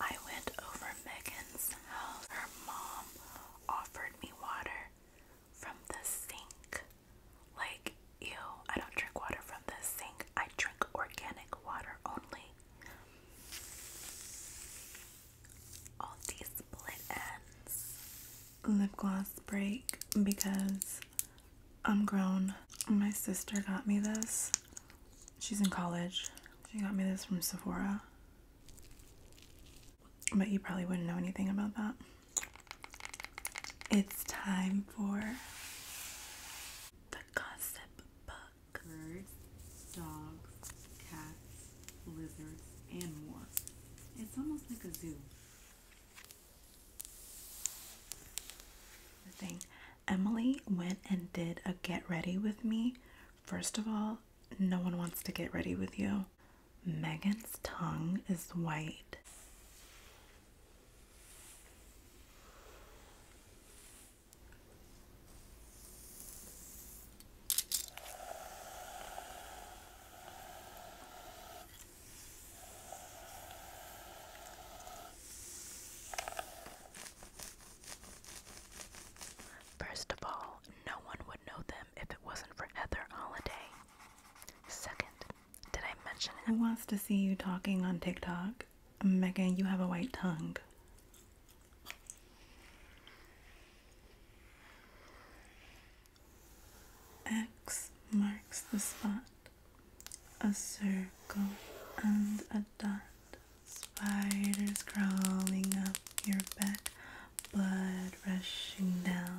I went over Megan's house. Her mom offered me water from the sink. Like, ew, I don't drink water from the sink. I drink organic water only. All these split ends lip gloss break because I'm grown. My sister got me this. She's in college. She got me this from Sephora. But you probably wouldn't know anything about that. It's time for the gossip bug birds, dogs, cats, lizards, and more. It's almost like a zoo. The thing Emily went and did a get ready with me. First of all, no one wants to get ready with you. Megan's tongue is white. First of all, no one would know them if it wasn't for Heather Holiday. Second, did I mention it? wants to see you talking on TikTok? Megan, you have a white tongue. X marks the spot. A circle and a dot. Spiders crawling up your back, blood rushing down.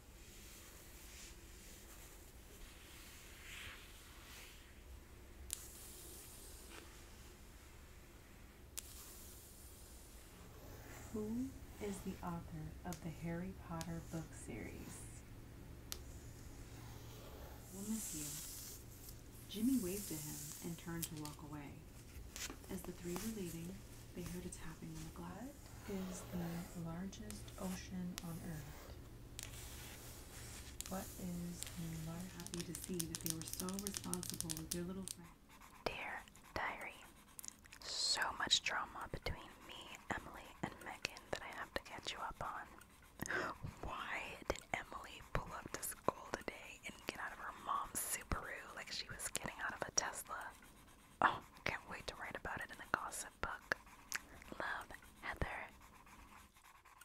Who is the author of the Harry Potter book series? We'll miss you. Jimmy waved to him and turned to walk away. As the three were leaving, they heard a tapping on the glass. Is the largest ocean on Earth? What is the Happy to see that they were so responsible with their little friend. Dear Diary, so much drama between me, Emily, and Megan that I have to catch you up on. Why did Emily pull up to school today and get out of her mom's Subaru like she was getting out of a Tesla? Oh, can't wait to write about it in the gossip book. Love, Heather.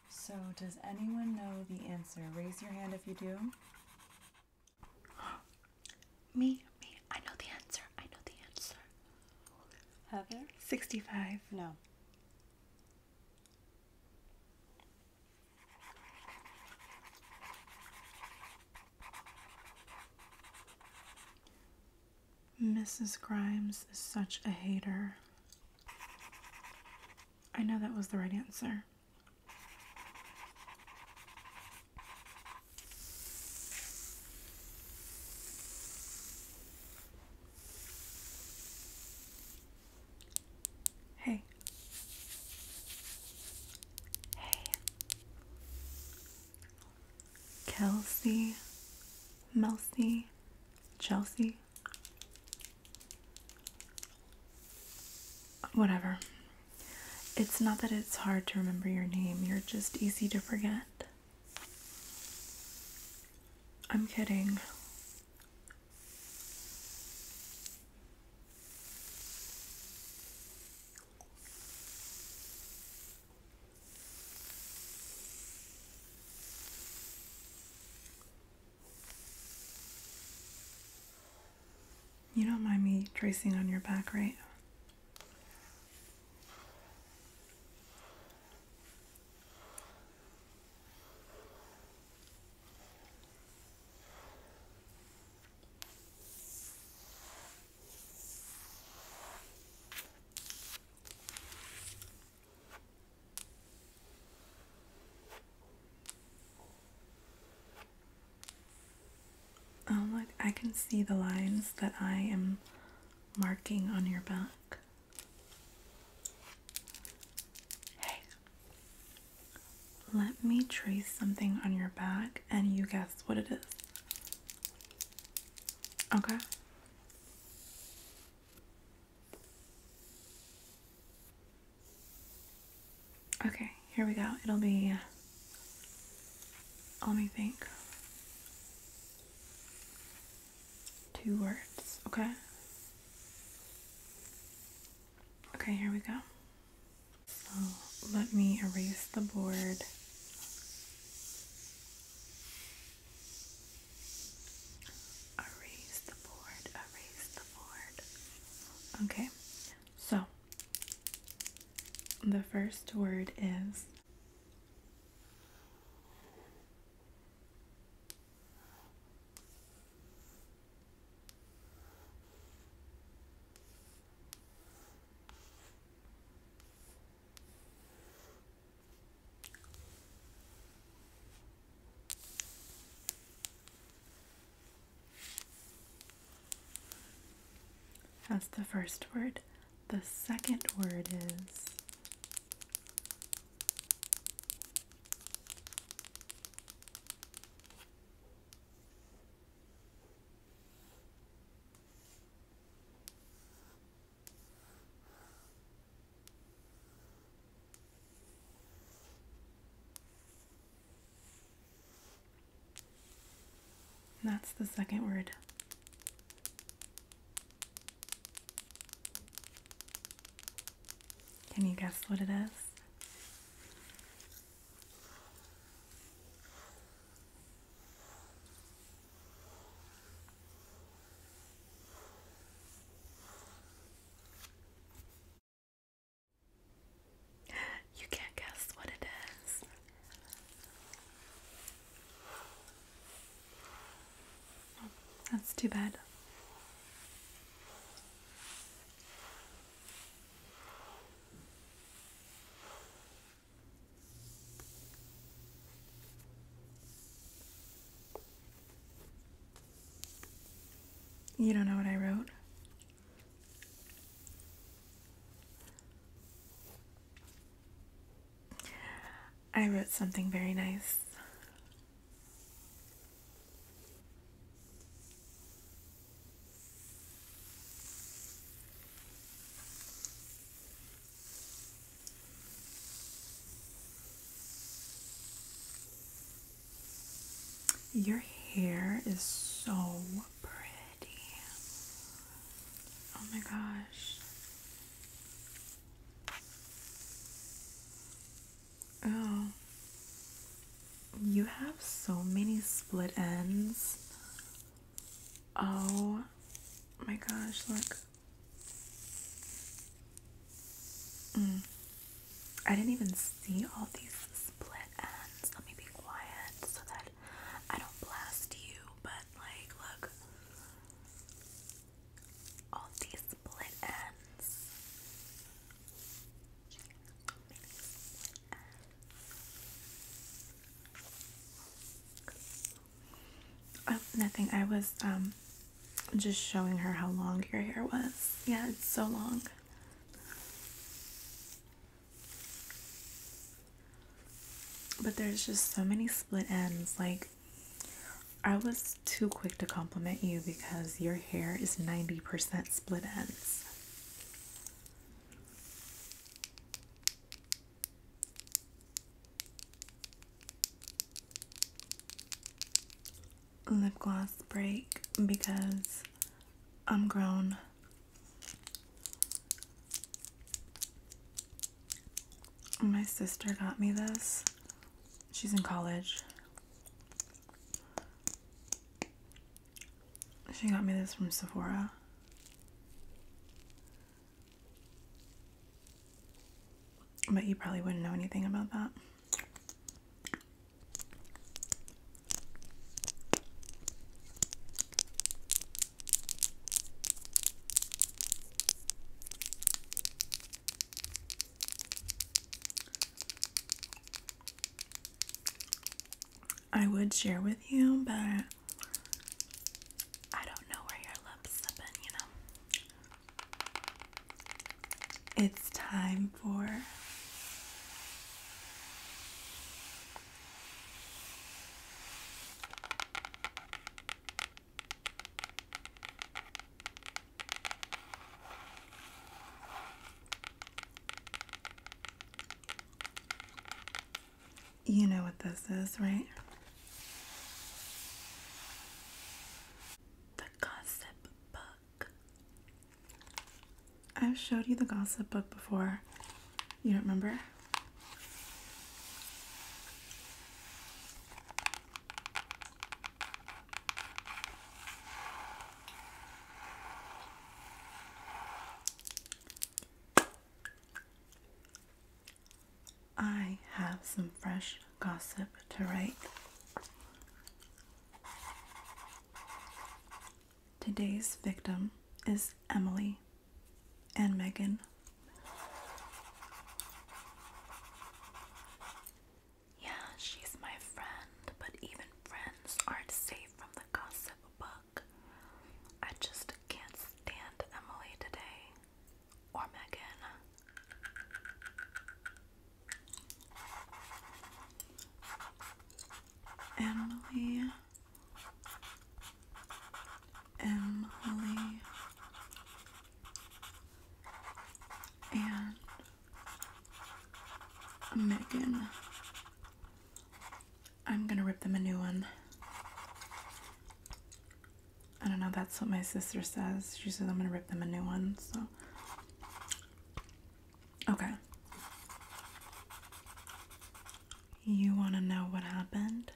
So, does anyone know the answer? Raise your hand if you do. me, me. I know the answer. I know the answer. Heather? 65. No. Mrs. Grimes is such a hater. I know that was the right answer. Hey. Hey. Kelsey, Melcy, Chelsea, whatever. It's not that it's hard to remember your name, you're just easy to forget. I'm kidding. You don't mind me tracing on your back, right? Oh, look, I can see the lines that I am marking on your back. Hey, let me trace something on your back and you guess what it is. Okay, Okay, here we go. It'll be. Uh, let me think. Two words, okay? Okay, here we go. Oh, let me erase the board. Erase the board, erase the board. Okay, so the first word is that's the first word. The second word is that's the second word. Can you guess what it is? You can't guess what it is. that's too bad. You don't know what I wrote? I wrote something very nice. Your hair is so pretty. Oh my gosh. Oh. You have so many split ends. Oh my gosh, look. Mm. I didn't even see all these split ends. Let me be quiet so that I don't blast you. But, like, look. All these Split ends. Oh, nothing. I was um just showing her how long your hair was. Yeah, it's so long. But there's just so many split ends. Like, I was too quick to compliment you because your hair is 90% split ends lip gloss break because I'm grown. My sister got me this. She's in college. She got me this from Sephora. But you probably wouldn't know anything about that. I would share with you, but I don't know where your lips have been, you know. It's time for you know what this is, right? The gossip book. I've showed you the gossip book before. You don't remember? I have some fresh gossip to write. Today's victim is Emily and Megan. Yeah, she's my friend, but even friends aren't safe from the gossip book. I just can't stand Emily today or Megan. Emily, Emily, and Megan. I'm gonna rip them a new one. I don't know, that's what my sister says. She says I'm gonna rip them a new one, so. Okay. You wanna know what happened?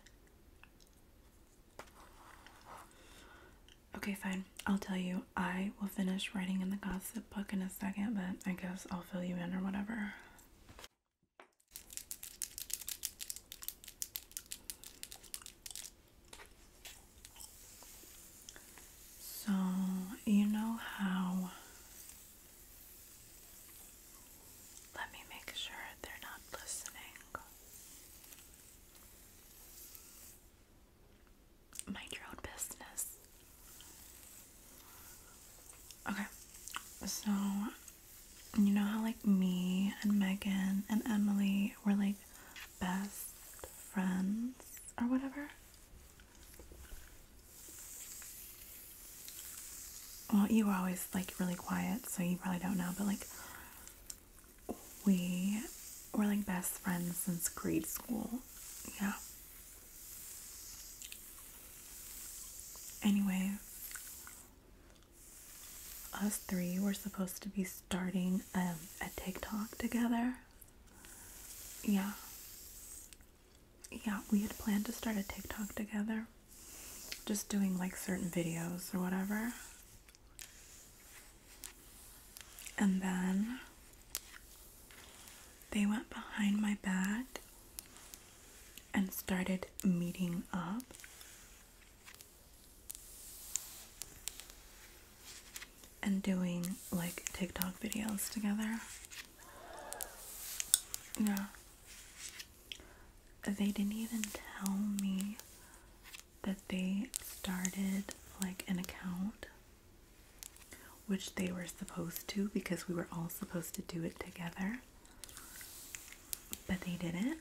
Okay, fine. I'll tell you. I will finish writing in the gossip book in a second, but I guess I'll fill you in or whatever. So, you know how. Let me make sure they're not listening. Mind your own business. Okay, so you know how like me and Megan and Emily were like best friends or whatever? Well, you were always like really quiet, so you probably don't know, but like we were like best friends since grade school. Yeah. Anyway, us three were supposed to be starting a TikTok together. Yeah. Yeah, we had planned to start a TikTok together. Just doing like certain videos or whatever. And then they went behind my back and started meeting up and doing like TikTok videos together. Yeah. They didn't even tell me that they started like an account, which they were supposed to because we were all supposed to do it together but they didn't.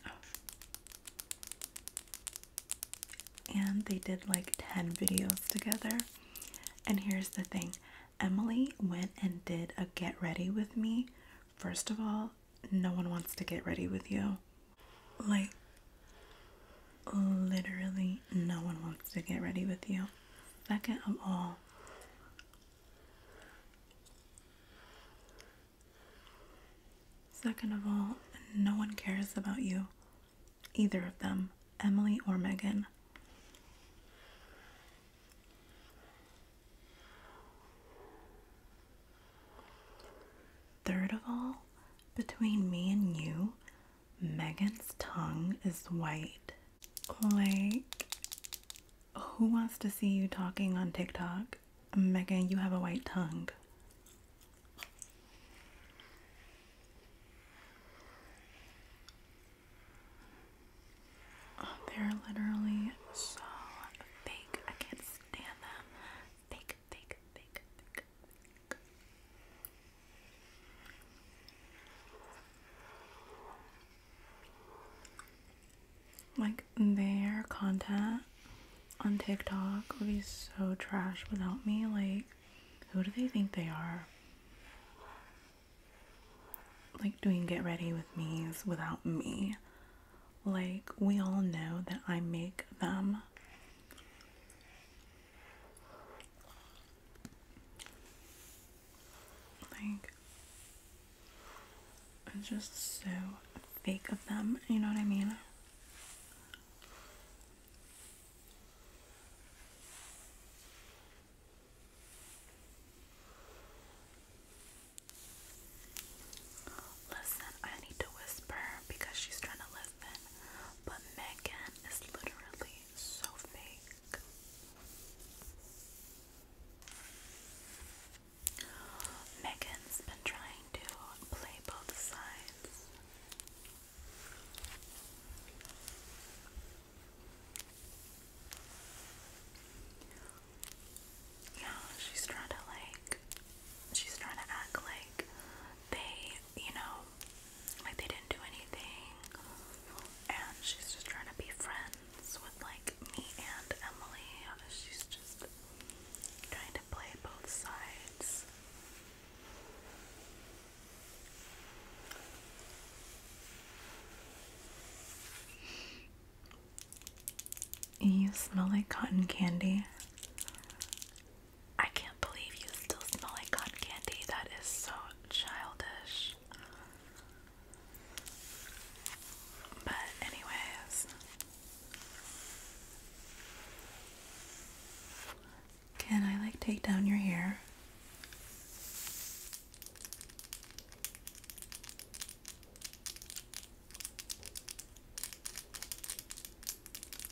And they did like 10 videos together. And here's the thing Emily went and did a get ready with me. First of all, no one wants to get ready with you. Like, literally, no one wants to get ready with you. Second of all, Second of all, no one cares about you, either of them, Emily or Megan. Third of all, between me and you, Megan's tongue is white. Like, who wants to see you talking on TikTok? Megan, you have a white tongue. they're literally so fake. I can't stand them. fake, fake, fake. Like their content on TikTok would be so trash without me. Like, who do they think they are? Like, doing get ready with me's without me. Like, we all know that I make them. Like, it's just so fake of them, you know what I mean? Listen, I need to whisper because she's trying to listen, but Megan is literally so fake. Megan's been trying to play both sides. Yeah, she's trying to like, she's trying to act like they, you know, like they didn't do anything. And she's just trying to be friends with like me and Emily. She's just trying to play both sides. You smell like cotton candy. I can't believe you still smell like cotton candy. That is so childish. But, anyways, can I like take down your hair?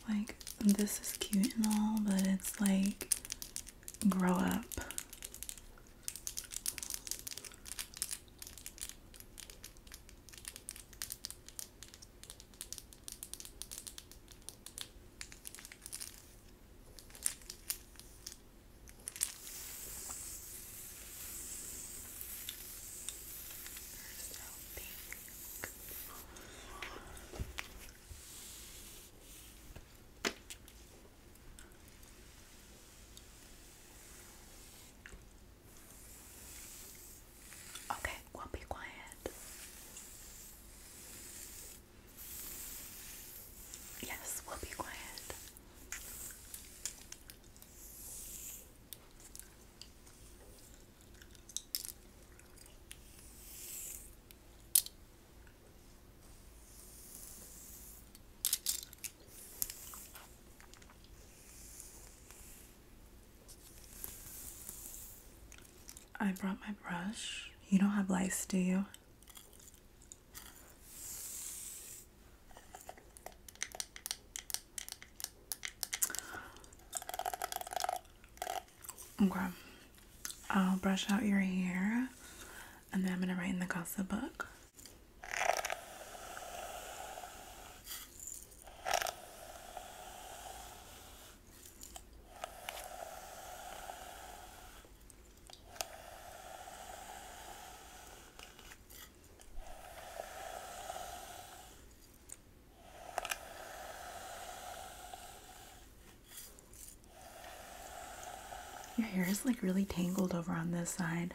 Like, this is cute and all, but it's like, grow up. They're so pink. Okay, well, be quiet. Yes, we'll be quiet. I brought my brush. You don't have lice, do you? Okay. I'll brush out your hair and then I'm going to write in the gossip book. Your hair is like really tangled over on this side.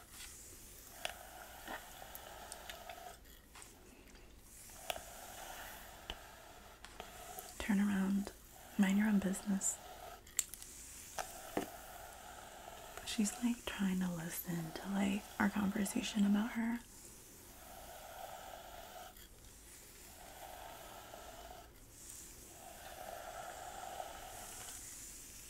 Turn around. Mind your own business. She's like trying to listen to like our conversation about her.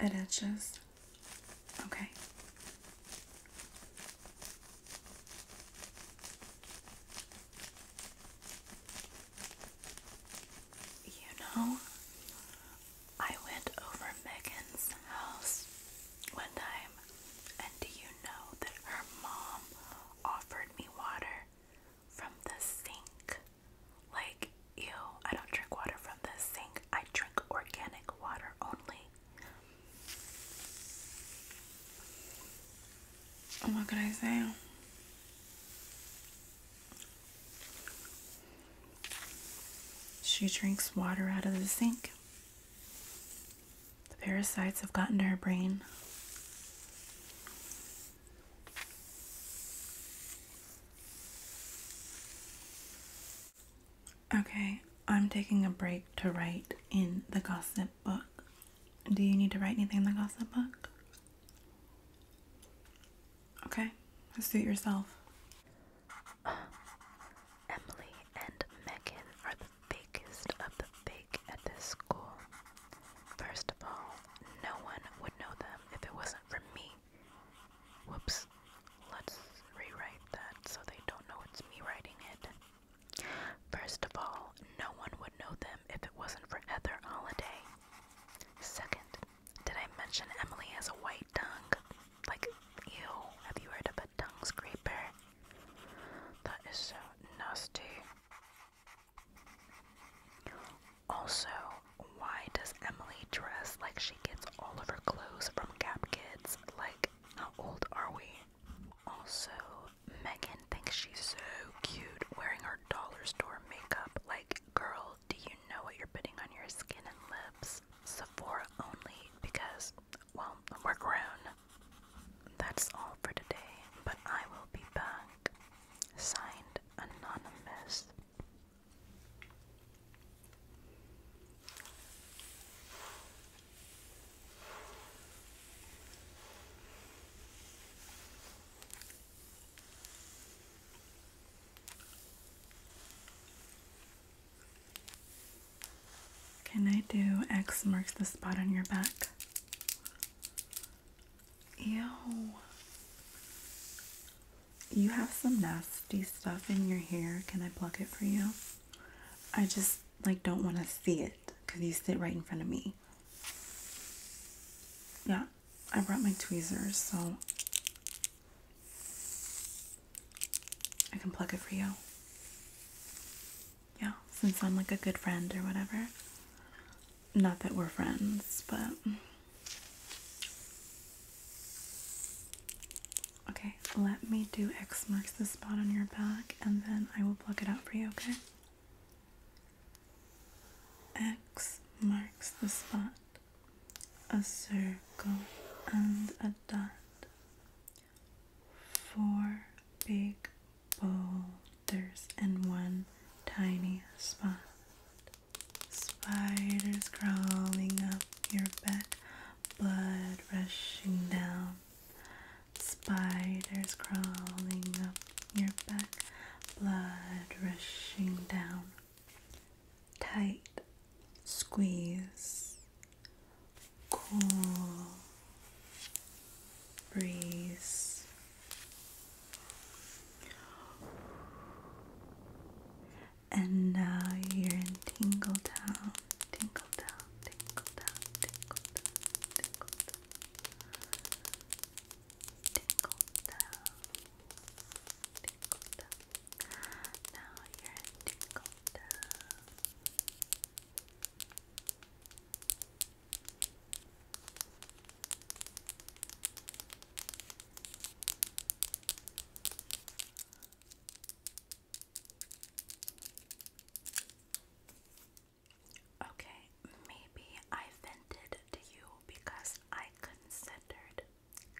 It etches. Okay. You know, I went over Megan's house one time, and do you know that her mom offered me water from the sink? Like, ew, I don't drink water from the sink, I drink organic water only. What can I say? She drinks water out of the sink. The parasites have gotten to her brain. Okay, I'm taking a break to write in the gossip book. Do you need to write anything in the gossip book? Okay, let's do it yourself. Emily and Megan are the fakest of the fake at this school. First of all, no one would know them if it wasn't for me. Whoops. Let's rewrite that so they don't know it's me writing it. First of all, no one would know them if it wasn't for Heather Holiday. Second, did I mention Emily has a white tongue? Like, ew, have you heard of a tongue scraper? That is so nasty. Also, why does Emily dress like she gets all of her clothes from Gap Kids? Like, how old are we? Also, Megan thinks she's so cute wearing her dollar store makeup. Like, girls do you know what you're putting on your skin and lips? Sephora only because, well, we're grown. That's all for today, but I will be back. Signed Anonymous. Can I do X marks the spot on your back? Ew. You have some nasty stuff in your hair. Can I pluck it for you? I just like don't want to see it because you sit right in front of me. Yeah. I brought my tweezers, so I can pluck it for you. Yeah, since I'm like a good friend or whatever. Not that we're friends, but. Okay, let me do X marks the spot on your back and then I will pluck it out for you, okay? X marks the spot a circle and a dot, four big boulders and one tiny spot. Spiders crawling up your back, blood rushing down. Spiders crawling up your back, blood rushing down tight squeeze, cool breeze. And now you're in Tingle Town, Tingle Town, Tingle Town, Tingle Town, Tingle Tinkle Tinkle Now you're tinkle Okay, maybe I vented to you because I considered,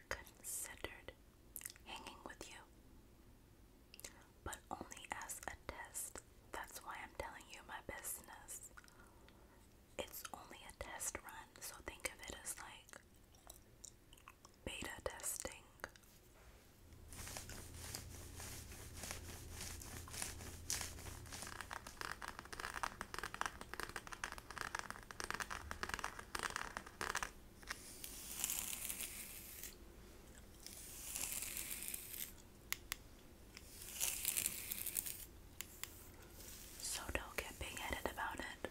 considered hanging with you. But only as a test. That's why I'm telling you my business. It's only a test run, so think of it as like beta testing. So don't get big headed about it.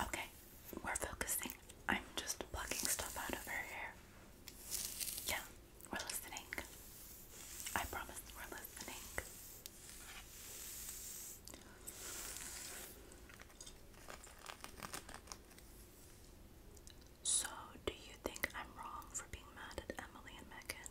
Okay, we're focusing. I'm just plucking stuff out of her hair. Yeah, we're listening. I promise we're listening. So, do you think I'm wrong for being mad at Emily and Megan?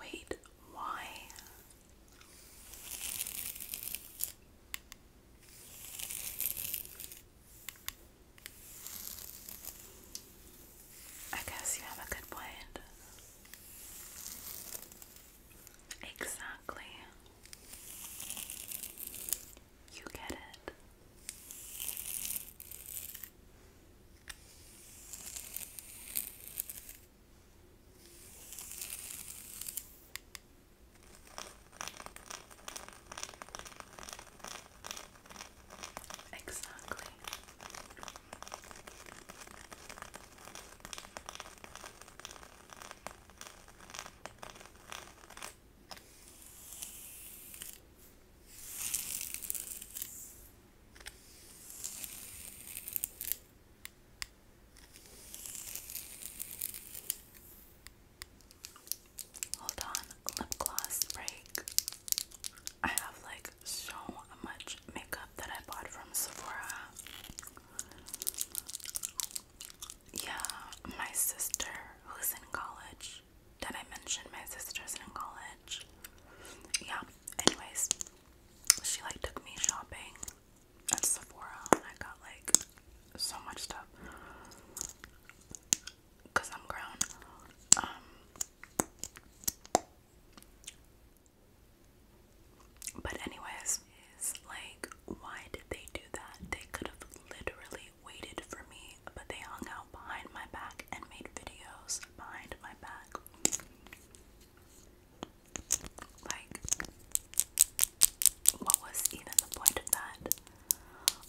Wait, why? I guess you have a good point. Exactly. You get it. Exactly. Hold on, lip gloss break. I have like so much makeup that I bought from Sephora. Yeah, my sister who's in college. Did I mention my sister's in college? Yeah, anyways, she like took me shopping at Sephora and I got like so much stuff because I'm grown. Um, but anyways, like why did they do that? They could have literally waited for me, but they hung out behind my back and made videos behind my back. Like, what was even the point of that?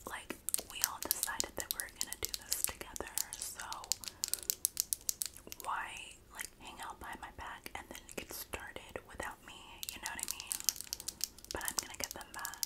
Like, we all decided that we are gonna do this together, so why, like, hang out by my back and then get started without me? You know what I mean? But I'm gonna get them back.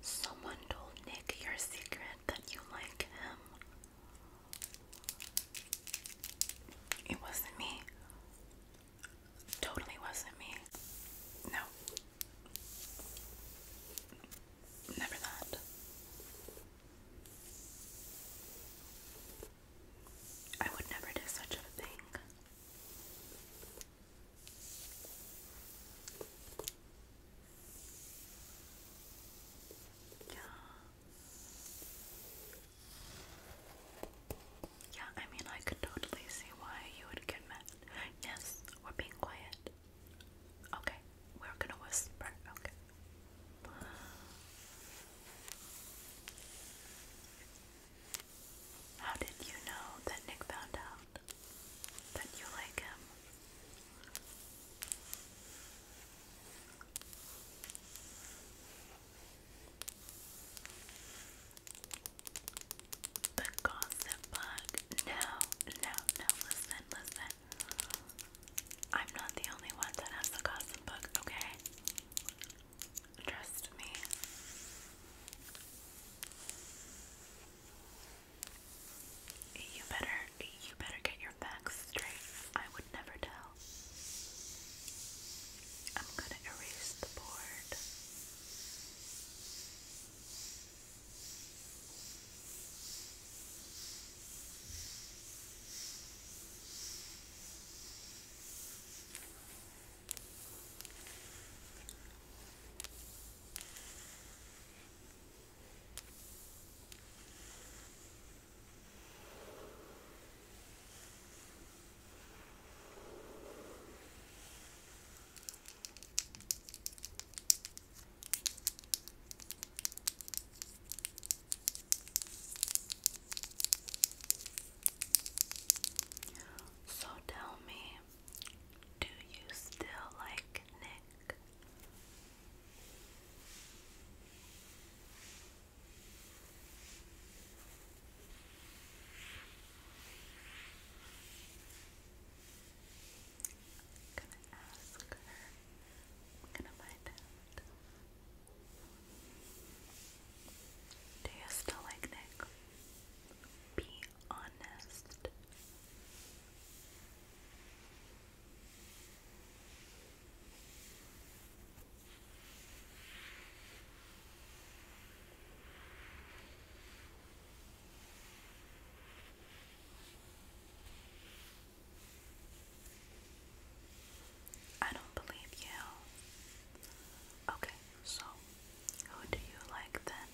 Someone told Nick your secret that you like him. It wasn't me. Totally wasn't me. No. Never that. I would never do such a thing. Yeah. Yeah, I mean, I could totally see why you would get Yes, we're being quiet. Okay, we're gonna whisper. Okay. How did you know that Nick found out that you like him? The gossip bug. No, no, no, listen, listen. I'm not the only one that has the gossip book. okay? Trust me. You better you better get your facts straight. I would never tell. I'm gonna erase the board. So tell me, do you still like Nick? gonna ask her. gonna find out. Do you still like Nick? Be honest. I don't believe you. Okay. So, who do you like then?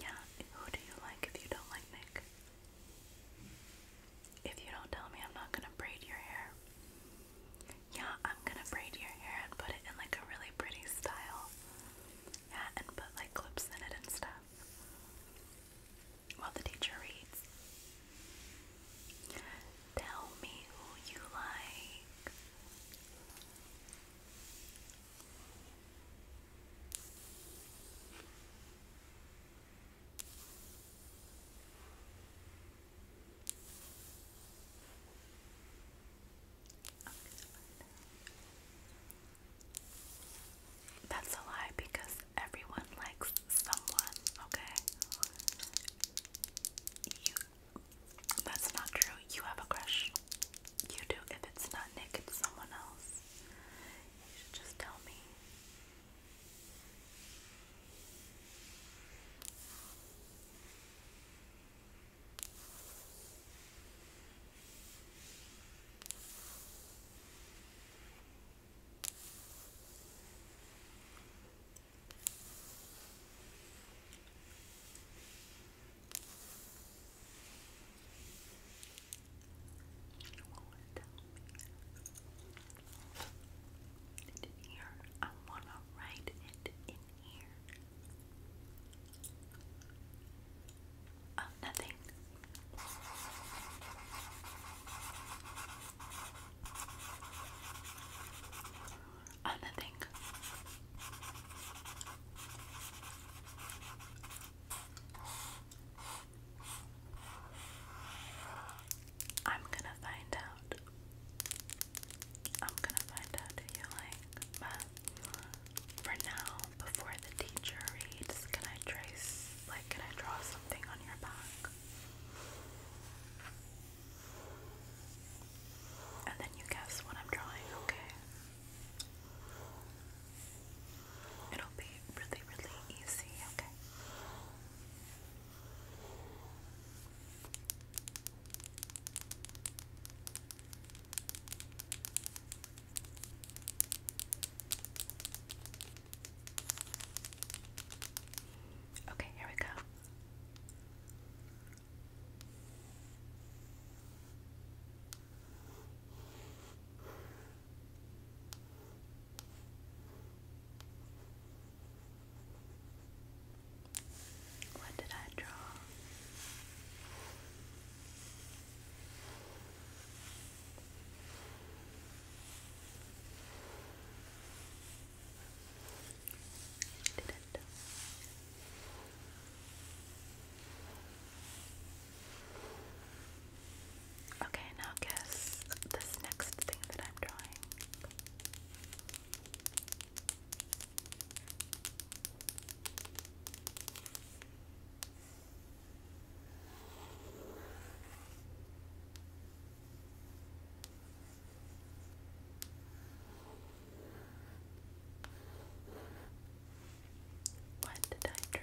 Yeah, who do you like if you don't like Nick? If you don't tell me, I'm not gonna braid your hair. Yeah, I'm gonna braid your hair and put it in like a really pretty style. Yeah, and put like clips in it and stuff. While the teacher reads. Tell me who you like. That's a lie because everyone likes someone, okay? You that's not true. You have a crush. You do. If it's not Nick, it's someone else. just tell me. It in here. I want to write it in here. nothing. And I I'm gonna find out. I'm gonna find out you like, but for now, before the teacher reads, can I trace, like, can I draw something on your back? And then you guess what I'm drawing, okay? It'll be really, really easy, okay? Okay, here we go. What did I draw? Okay, now guess this next thing that I'm drawing. What did I draw?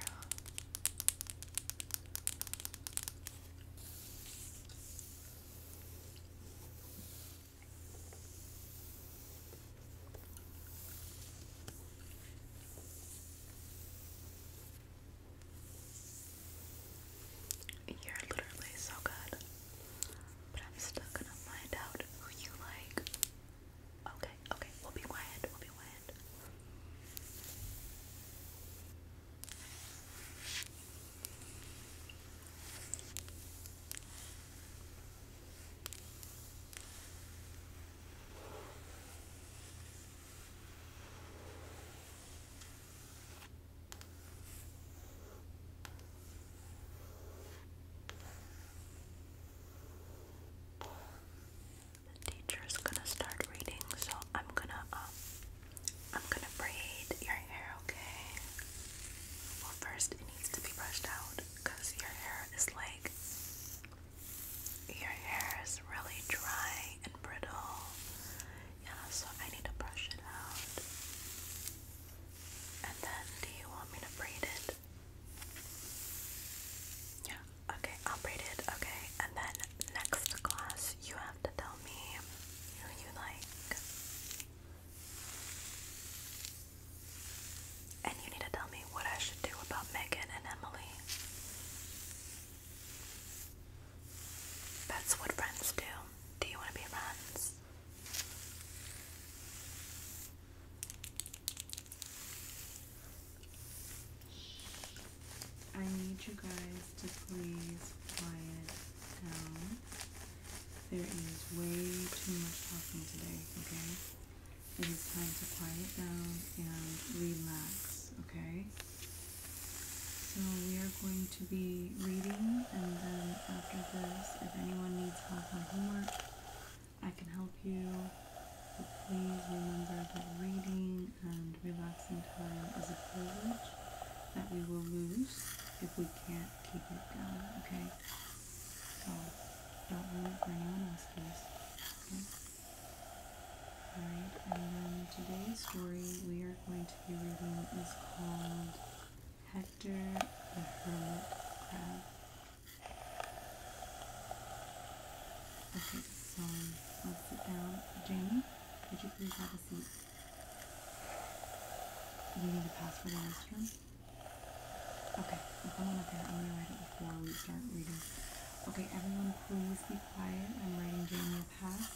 You're literally so good. But I'm still gonna find out who you like. Okay, okay, we'll be quiet, we'll be quiet. The teacher's gonna start reading, so I'm gonna um I'm gonna braid your hair, okay? first it needs to be brushed out because your hair is like your hair is really dry and brittle yeah, so I need to brush it out. And then, do you want me to braid it? Yeah, okay, I'll braid it, okay. And then, next class, you have to tell me who you like. And you need to tell me what I should do about Megan and Emily. That's what friends do. Do you want to be friends? I need you guys to please quiet down. There is way too much talking today, okay? It is time to quiet down and relax, okay? So we are going to be reading, and then after this, if anyone needs help on homework, I can help you. please remember that reading and relaxing time is a privilege that we will lose if we can't keep it down, okay? So, don't ruin it for anyone else, please. Okay? Alright, and then today's story we are going to be reading is called Hector the Hermit Crab. Okay, so let's sit down. Jamie, would you please have a seat? You need a password in this room? Okay, I'll come on I'm going to write it before we start reading. Okay, everyone please be quiet. I'm writing Jamie a pass.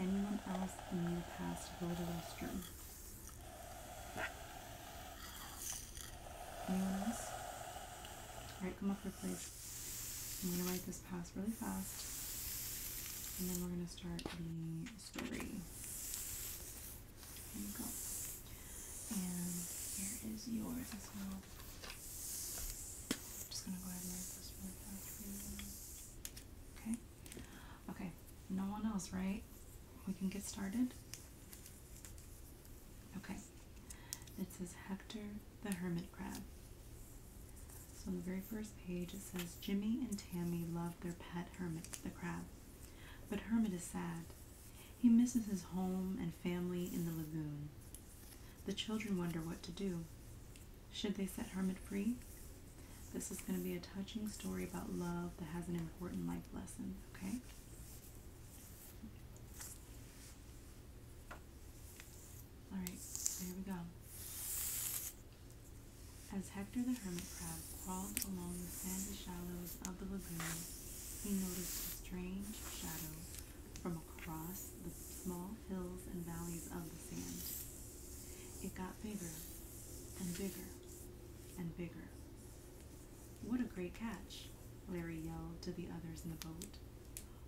Anyone else in pass past, go to restroom alright, come up here, please. I'm gonna write this pass really fast, and then we're gonna start the story. There you go. And here is yours as well. just gonna go ahead and write this really fast for you. Okay. Okay, no one else, right? We can get started. Okay, it says Hector the Hermit Crab. So on the very first page, it says Jimmy and Tammy love their pet hermit, the crab. But Hermit is sad. He misses his home and family in the lagoon. The children wonder what to do. Should they set Hermit free? This is going to be a touching story about love that has an important life lesson, okay? Alright, there we go. As Hector the Hermit Crab crawled along the sandy shallows of the lagoon, he noticed a strange shadow from across the small hills and valleys of the sand. It got bigger and bigger and bigger. What a great catch, Larry yelled to the others in the boat.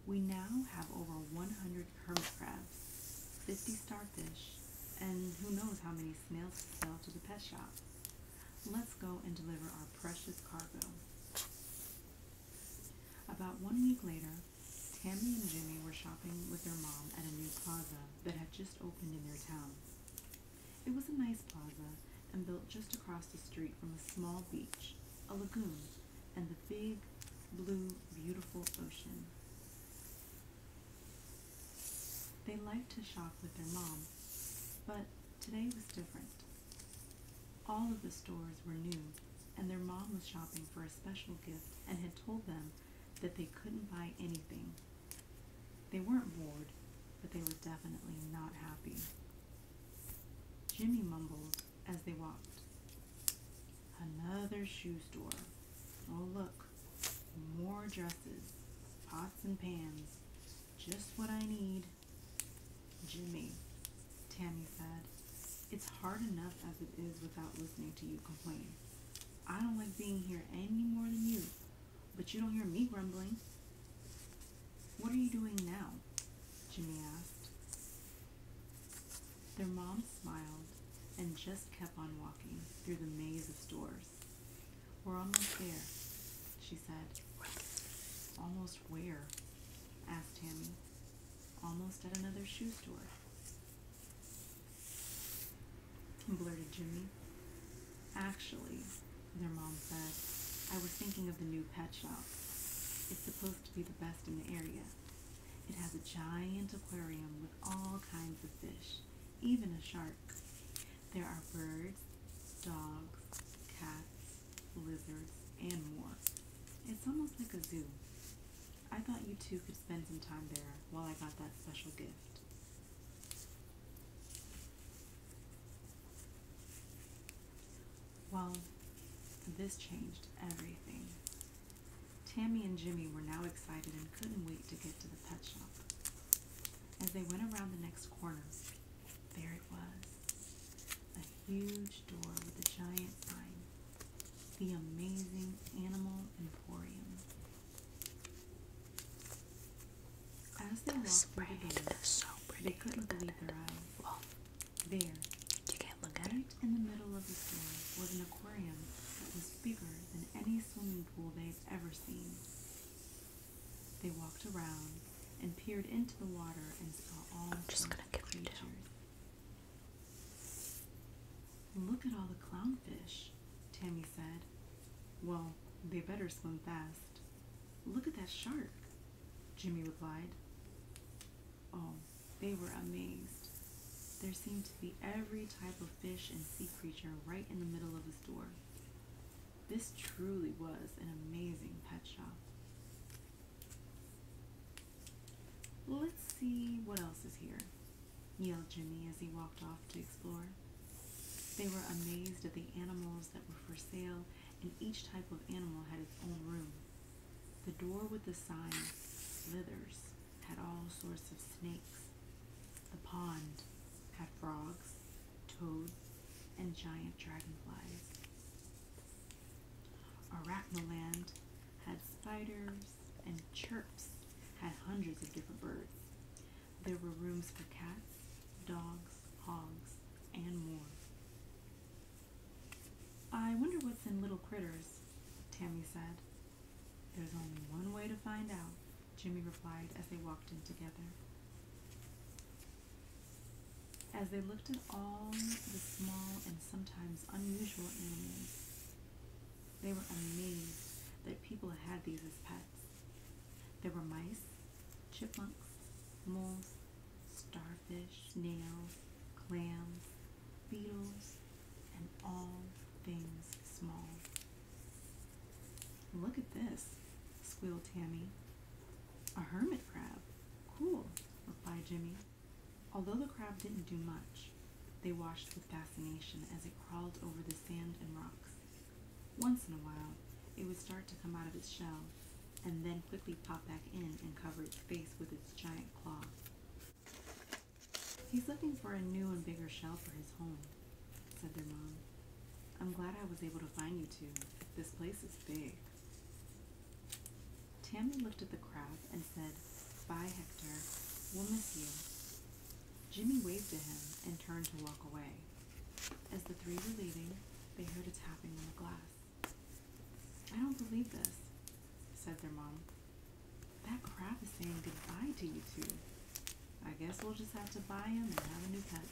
We now have over 100 hermit crabs, 50 starfish, and who knows how many snails to sell to the pet shop. Let's go and deliver our precious cargo. About one week later, Tammy and Jimmy were shopping with their mom at a new plaza that had just opened in their town. It was a nice plaza and built just across the street from a small beach, a lagoon, and the big, blue, beautiful ocean. They liked to shop with their mom, but today was different. All of the stores were new, and their mom was shopping for a special gift and had told them that they couldn't buy anything. They weren't bored, but they were definitely not happy. Jimmy mumbled as they walked. Another shoe store. Oh, look, more dresses, pots and pans, just what I need. Jimmy, Tammy said, it's hard enough as it is without listening to you complain. I don't like being here any more than you, but you don't hear me grumbling. What are you doing now? Jimmy asked. Their mom smiled and just kept on walking through the maze of stores. We're almost there, she said. Almost where? asked Tammy. Almost at another shoe store blurted Jimmy. Actually, their mom said, I was thinking of the new pet shop. It's supposed to be the best in the area. It has a giant aquarium with all kinds of fish, even a shark. There are birds, dogs, cats, lizards, and more. It's almost like a zoo. I thought you two could spend some time there while I got that special gift. Well, this changed everything. Tammy and Jimmy were now excited and couldn't wait to get to the pet shop. As they went around the next corner, there it was. A huge door with a giant sign. The Amazing Animal Emporium. As they the spread the is so pretty. Look at it. Well, there, you can't look at right in the middle of the store was an aquarium that was bigger than any swimming pool they had ever seen. They walked around and peered into the water and saw all I'm creatures. Look at all the clownfish, Tammy said. Well, they better swim fast. Look at that shark, Jimmy replied. Oh, they were amazed. There seemed to be every type of fish and sea creature right in the middle of the store. This truly was an amazing pet shop. Let's see what else is here yelled Jimmy as he walked off to explore. They were amazed at the animals that were for sale, and each type of animal had its own room. The door with the sign, Slithers, had all sorts of snakes. The pond had frogs, toads, and giant dragonflies. Arachnoland had spiders, and chirps had hundreds of different birds. There were rooms for cats, dogs, hogs, and more. I wonder what's in Little Critters, Tammy said. There's only one way to find out, Jimmy replied as they walked in together. As they looked at all the small and sometimes unusual animals, they were amazed that people had these as pets. There were mice, chipmunks, moles, starfish, nails, clams, beetles, and all things small. Look at this, squealed Tammy. A hermit crab. Cool, replied Jimmy. Although the crab didn't do much, they watched with fascination as it crawled over the sand and rocks. Once in a while, it would start to come out of its shell and then quickly pop back in and cover its face with its giant claw. He's looking for a new and bigger shell for his home, said their mom. I'm glad I was able to find you two. This place is big. Tammy looked at the crab and said, Bye, Hector. We'll miss you. Jimmy waved to him and turned to walk away. As the three were leaving, they heard a tapping on the glass. I don't believe this, said their mom. That crab is saying goodbye to you two. I guess we'll just have to buy him and have a new pet.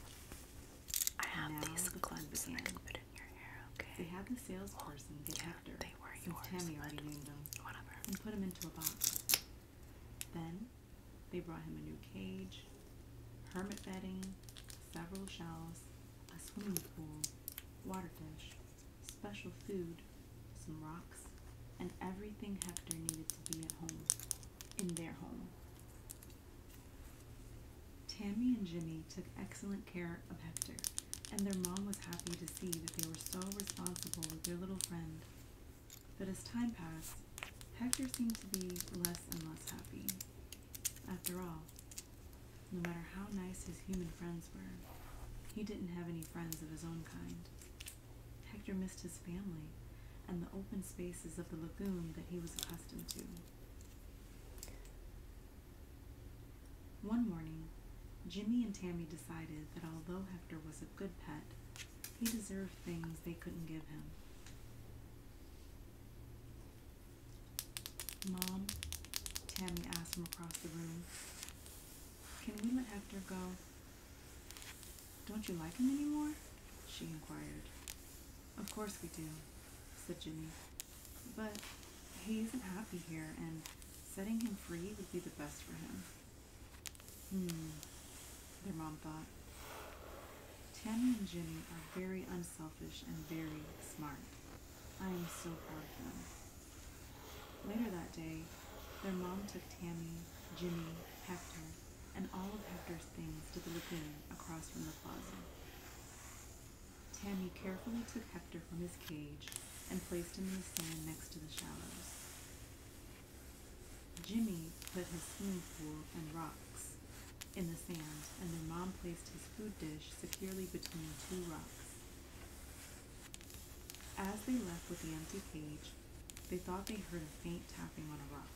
I have the clips and put in your hair, okay? They had the salesperson well, get yeah, Hector, they were Tammy already named him, whatever. and put him into a box. Then they brought him a new cage, hermit bedding, several shells, a swimming pool, water fish, special food, some rocks, and everything Hector needed to be at home, in their home. Tammy and Jimmy took excellent care of Hector, and their mom was happy to see that they were so responsible with their little friend. But as time passed, Hector seemed to be less and less happy. After all, no matter how nice his human friends were, he didn't have any friends of his own kind. Hector missed his family and the open spaces of the lagoon that he was accustomed to. One morning, Jimmy and Tammy decided that although Hector was good pet. He deserved things they couldn't give him. Mom, Tammy asked from across the room, can we let Hector go? Don't you like him anymore? she inquired. Of course we do, said Jimmy. But he isn't happy here, and setting him free would be the best for him. Hmm, their mom thought. Tammy and Jimmy are very unselfish and very smart. I am so proud of them. Later that day, their mom took Tammy, Jimmy, Hector, and all of Hector's things to the lake lagoon across from the plaza. Tammy carefully took Hector from his cage and placed him in the sand next to the shallows. Jimmy put his swimming pool and rocks in the sand, and their mom placed his food dish securely between two rocks. As they left with the empty cage, they thought they heard a faint tapping on a rock.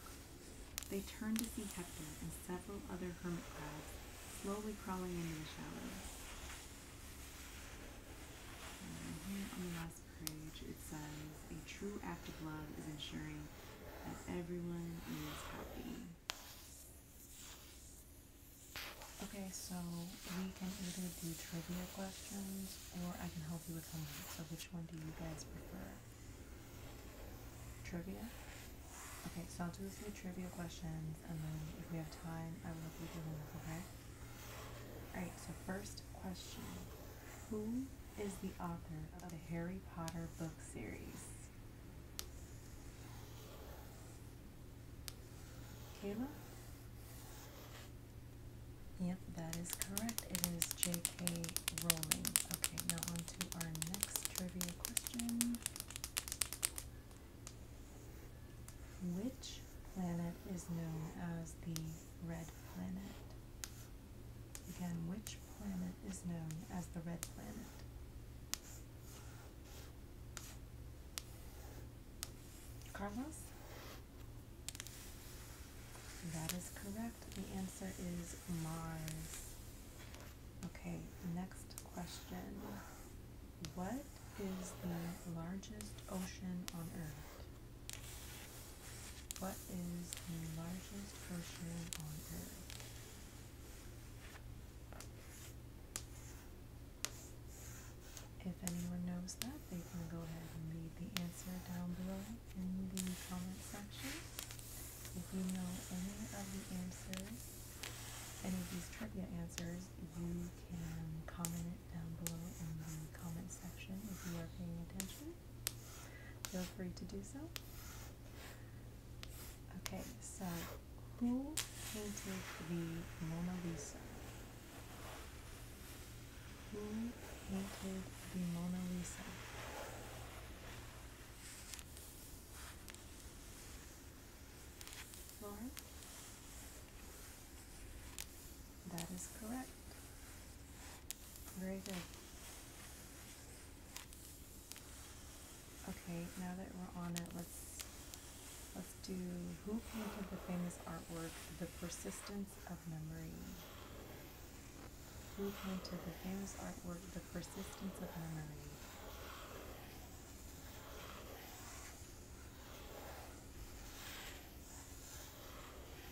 They turned to see Hector and several other hermit crabs slowly crawling into the shallows page, it says a true act of love is ensuring that everyone is happy. Okay, so we can either do trivia questions or I can help you with homework. So which one do you guys prefer? Trivia? Okay, so I'll do a few trivia questions and then if we have time I will help you do homework, okay? Alright, so first question Who is the author of the Harry Potter book series? Kayla? Yep, that is correct. It is J.K. Rowling. Okay, now on to our next trivia question. Which planet is known as the Red Planet. Again, which planet is known as the Red Planet? Carlos? That is correct. The answer is Mars. Okay, next question. What is the largest ocean on Earth? What is the largest ocean on Earth? If anyone knows that, they can go ahead and leave the answer down below in the comment section. If you know any of the answers, any of these trivia answers, you can comment down below in the comment section if you are paying attention. Feel free to do so. Okay, so who painted the Mona Lisa? Who painted the Mona Lisa? Lauren? That is correct. Very good. Okay, now that we're on it, let's let's do who painted the famous artwork The Persistence of Memory? Who painted the famous artwork The Persistence of Memory?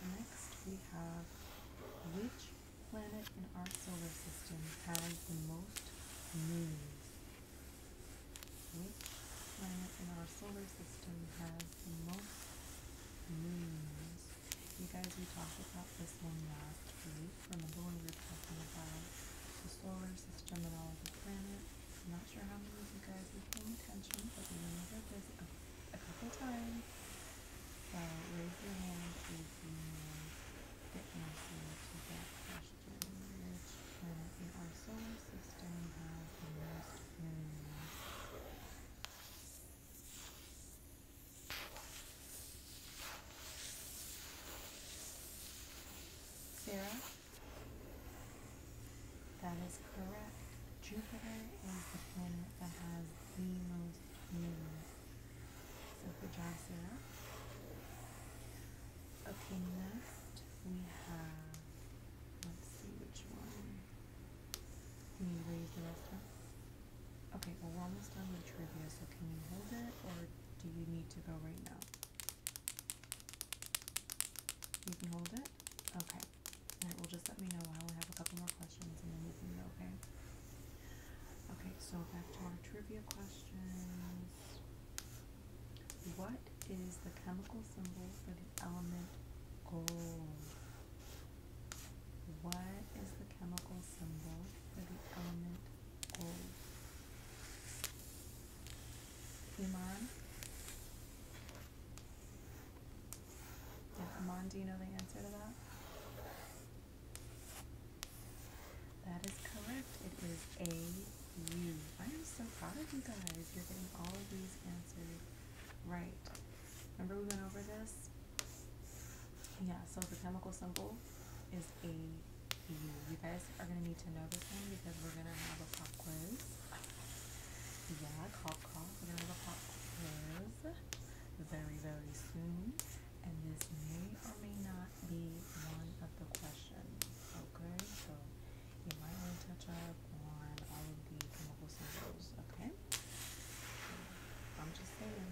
Next, we have which planet in our solar system has the most moons? Which planet in our solar system has the most moons? You guys, we talked about this one last week. the one we were talking about the solar system and all of the planets? I'm not sure how many of you guys were paying attention, but remember there's a a couple times. So raise your hand if you the that uh, our solar system has the most moons? Sarah? That is correct. Jupiter is the planet that has the most moons. So Okay, next we have, let's see which one. Can you raise the rest up? Okay, well we're almost done with trivia, so can you hold it or do you need to go right now? You can hold it? Okay. And it just let me know. I only have a couple more questions and then okay? Okay, so back to our trivia questions. What is the chemical symbol for the element gold? What is the chemical symbol for the element gold? Iman? Yeah, come on, do you know the answer to that? That is correct. It is A U. I am so proud of you guys. You're getting all of these answers right. Remember we went over this? Yeah, so the chemical symbol is A U. You guys are going to need to know this one because we're going to have a pop quiz. Yeah, Cop Cop, whatever Cop is, very, very soon. And this may or may not be one of the questions, okay? So you might want to touch up on all of the chemical symbols, okay? I'm just saying.